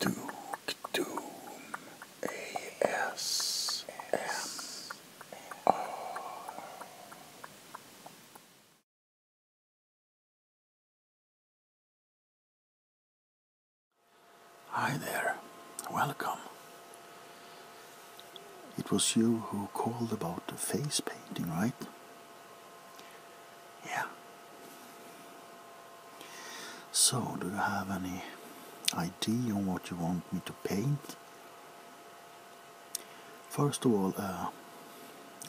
Duke Doom ASMR. Hi there, welcome. It was you who called about the face painting, right? Yeah. So, do you have any idea on what you want me to paint? First of all, uh,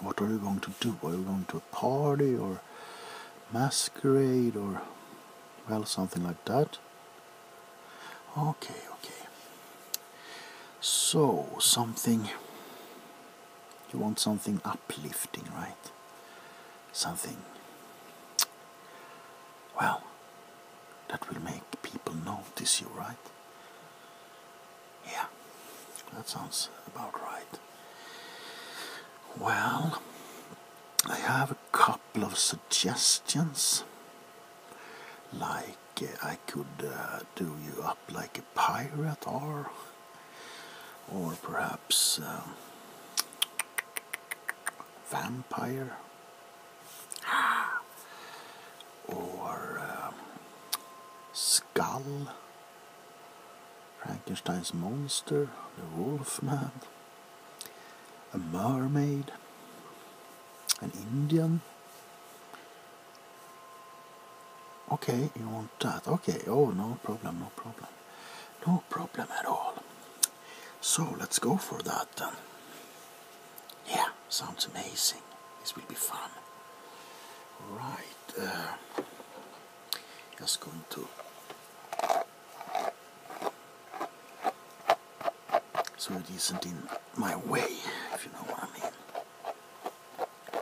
what are you going to do? Are you going to a party or masquerade or, well, something like that? Okay, okay. So, something you want something uplifting, right? Something, well, that will make people notice you, right? Yeah, that sounds about right. Well, I have a couple of suggestions. Like, uh, I could uh, do you up like a pirate or or perhaps um, vampire, or um, skull, Frankenstein's monster, the wolf man, a mermaid, an Indian. Okay, you want that? Okay, oh, no problem, no problem. No problem at all. So let's go for that Yeah, sounds amazing. This will be fun. Right, uh, just going to. So it isn't in my way, if you know what I mean.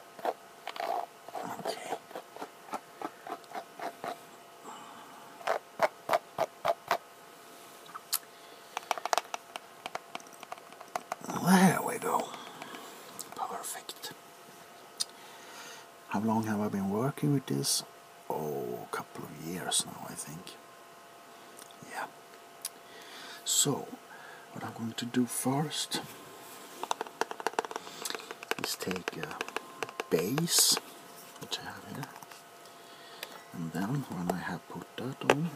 Okay. There we go. Perfect. How long have I been working with this? Oh, a couple of years now, I think. Yeah. So, what I'm going to do first Let's take a uh, base, which I have here, and then when I have put that on,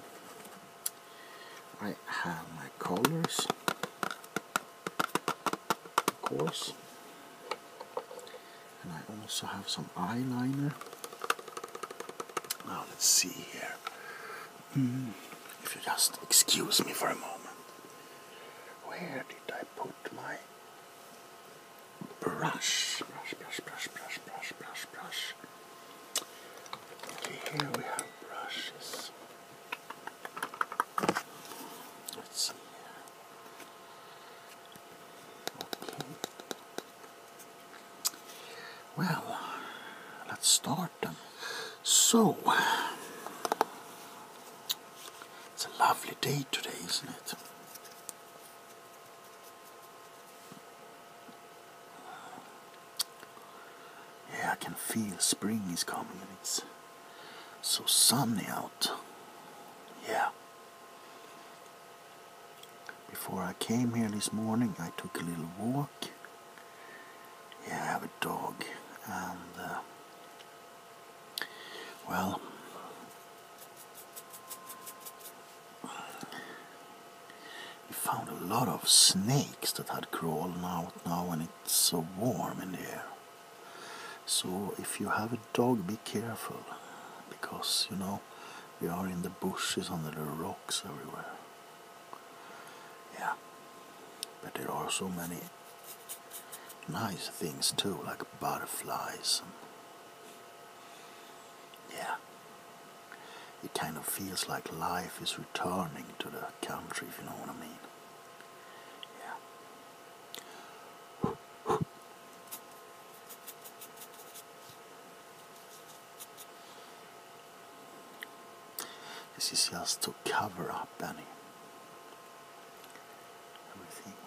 I have my colors, of course, and I also have some eyeliner. Now let's see here. Hmm, if you just excuse me for a moment. Where did I put my brush? Brush, brush, brush, brush, brush, brush, brush. Okay, here we have brushes. Let's see here. Okay. Well, let's start. So, it's a lovely day today, isn't it? Yeah, I can feel spring is coming and it's so sunny out. Yeah. Before I came here this morning, I took a little walk. Yeah, I have a dog and. Uh, well, we found a lot of snakes that had crawled out now and it's so warm in here. So if you have a dog, be careful because, you know, we are in the bushes under the rocks everywhere. Yeah. But there are so many nice things too, like butterflies. yeah. It kind of feels like life is returning to the country, if you know what I mean. This is just to cover up any let me see.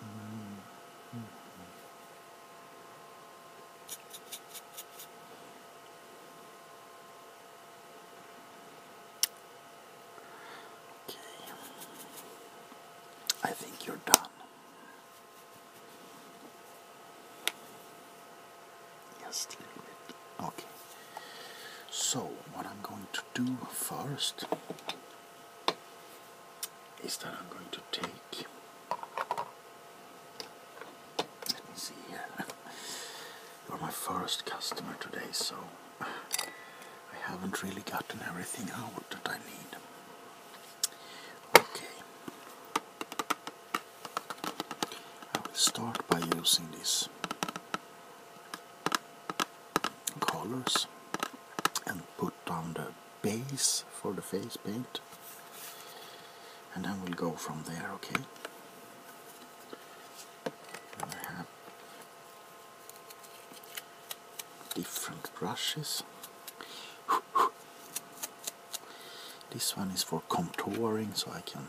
Mm -hmm. Okay. I think you're done. Just a little bit. Okay. So, what I'm going to do first is that I'm going to take. Let me see here. You're my first customer today, so I haven't really gotten everything out that I need. Okay. I will start by using these colors and put down the base for the face paint and then we'll go from there, okay? And have different brushes this one is for contouring, so I can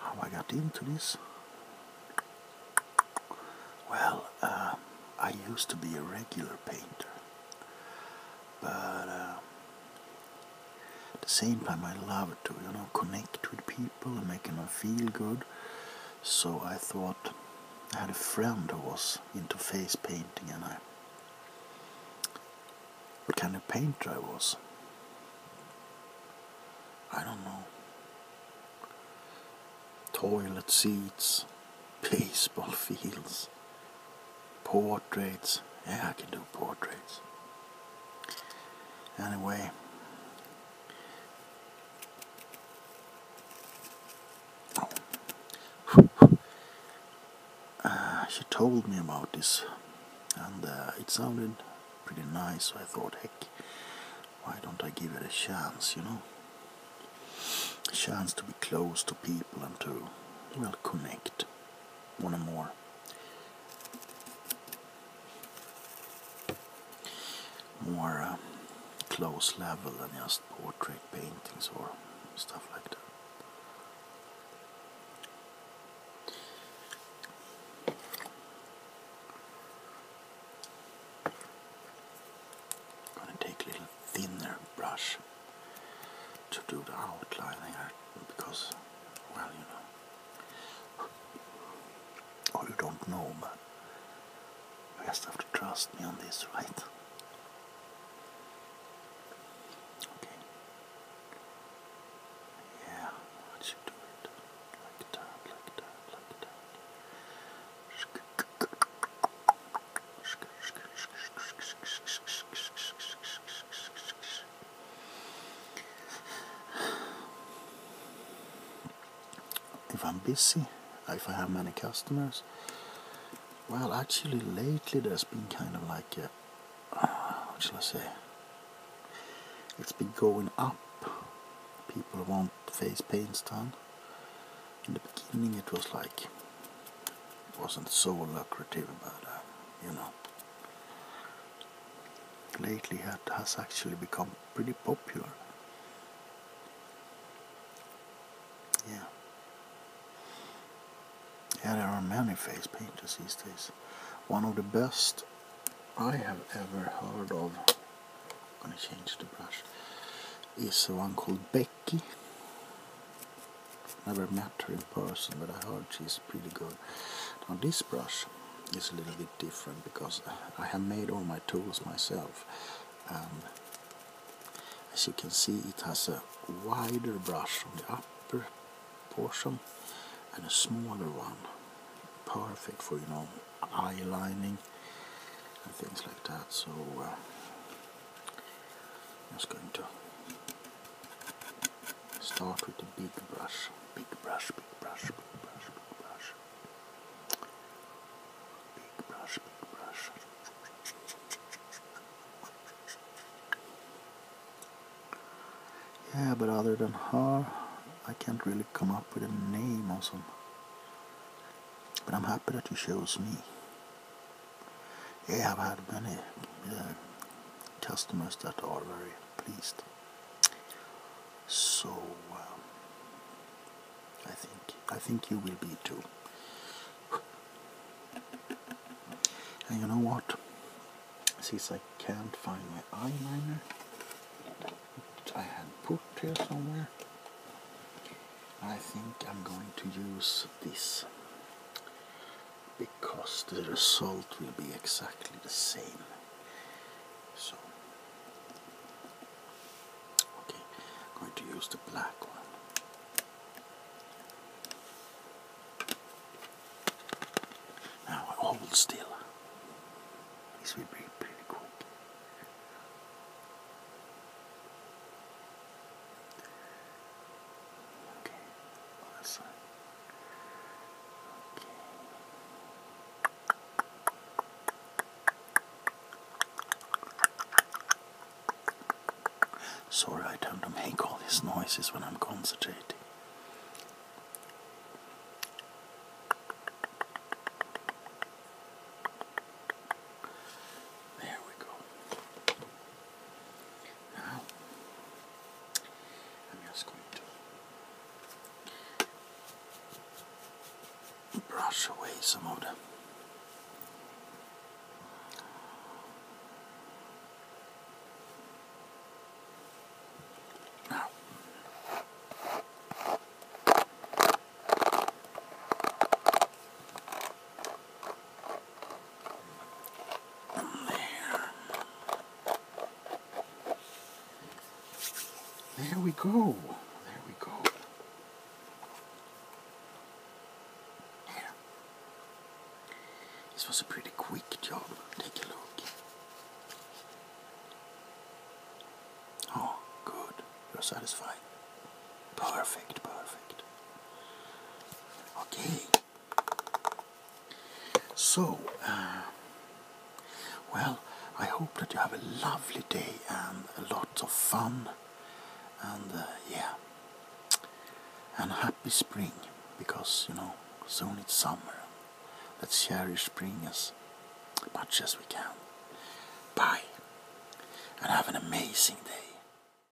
How I got into this? Well, uh, I used to be a regular painter, but uh, at the same time, I love to you know connect with people and make them feel good. So I thought I had a friend who was into face painting, and I what kind of painter I was. I don't know. Toilet seats, baseball fields, Portraits. Yeah, I can do portraits. Anyway. Uh, she told me about this and uh, it sounded pretty nice so I thought heck why don't I give it a chance you know a chance to be close to people and to well connect one a more more. Uh, close level than just portrait paintings or stuff like that. Gonna take a little thinner brush to do the outlining because, well, you know, or you don't know, but you just have to trust me on this, right? Okay. Yeah, I should do it like that, like that, like that if I'm busy, if I have many customers. Well, actually, lately there's been kind of like what shall I say? It's been going up. People want face paints done. In the beginning, it was like, it wasn't so lucrative, but uh, you know lately it has actually become pretty popular. Yeah. Yeah, there are many face painters these days. One of the best I have ever heard of, I'm gonna change the brush, is one called Becky. Never met her in person, but I heard she's pretty good. Now this brush is a little bit different because I have made all my tools myself. And as you can see, it has a wider brush on the upper portion and a smaller one. Perfect for, you know, eye lining and things like that. So, uh, I'm just Start with the big brush, big brush, big brush, big brush, big brush. Big brush, big brush. Yeah, but other than her, I can't really come up with a name or something. But I'm happy that you chose me. I've had many uh, customers that are er very pleased. So um, I think I think you will be too. And you know what? Since I can't find my eyeliner, which I had put here somewhere, I think I'm going to use this because the result will be exactly the same so okay I'm going to use the black one now hold still this will be pretty quick Okay, awesome. Okay. Sorry, I tend to make all these noises when I'm concentrating. There we go. Now, I'm just going to brush away some of the now. Oh, there we go. There we go. Yeah. This was a pretty quick job. Take a look. Oh, good. You're satisfied. Perfect, perfect. Okay. So, uh, well, I hope that you have a lovely day and a lot of fun, and uh, yeah, and happy spring because you know soon it's summer. Let's cherish spring as much as we can. Bye, and have an amazing day.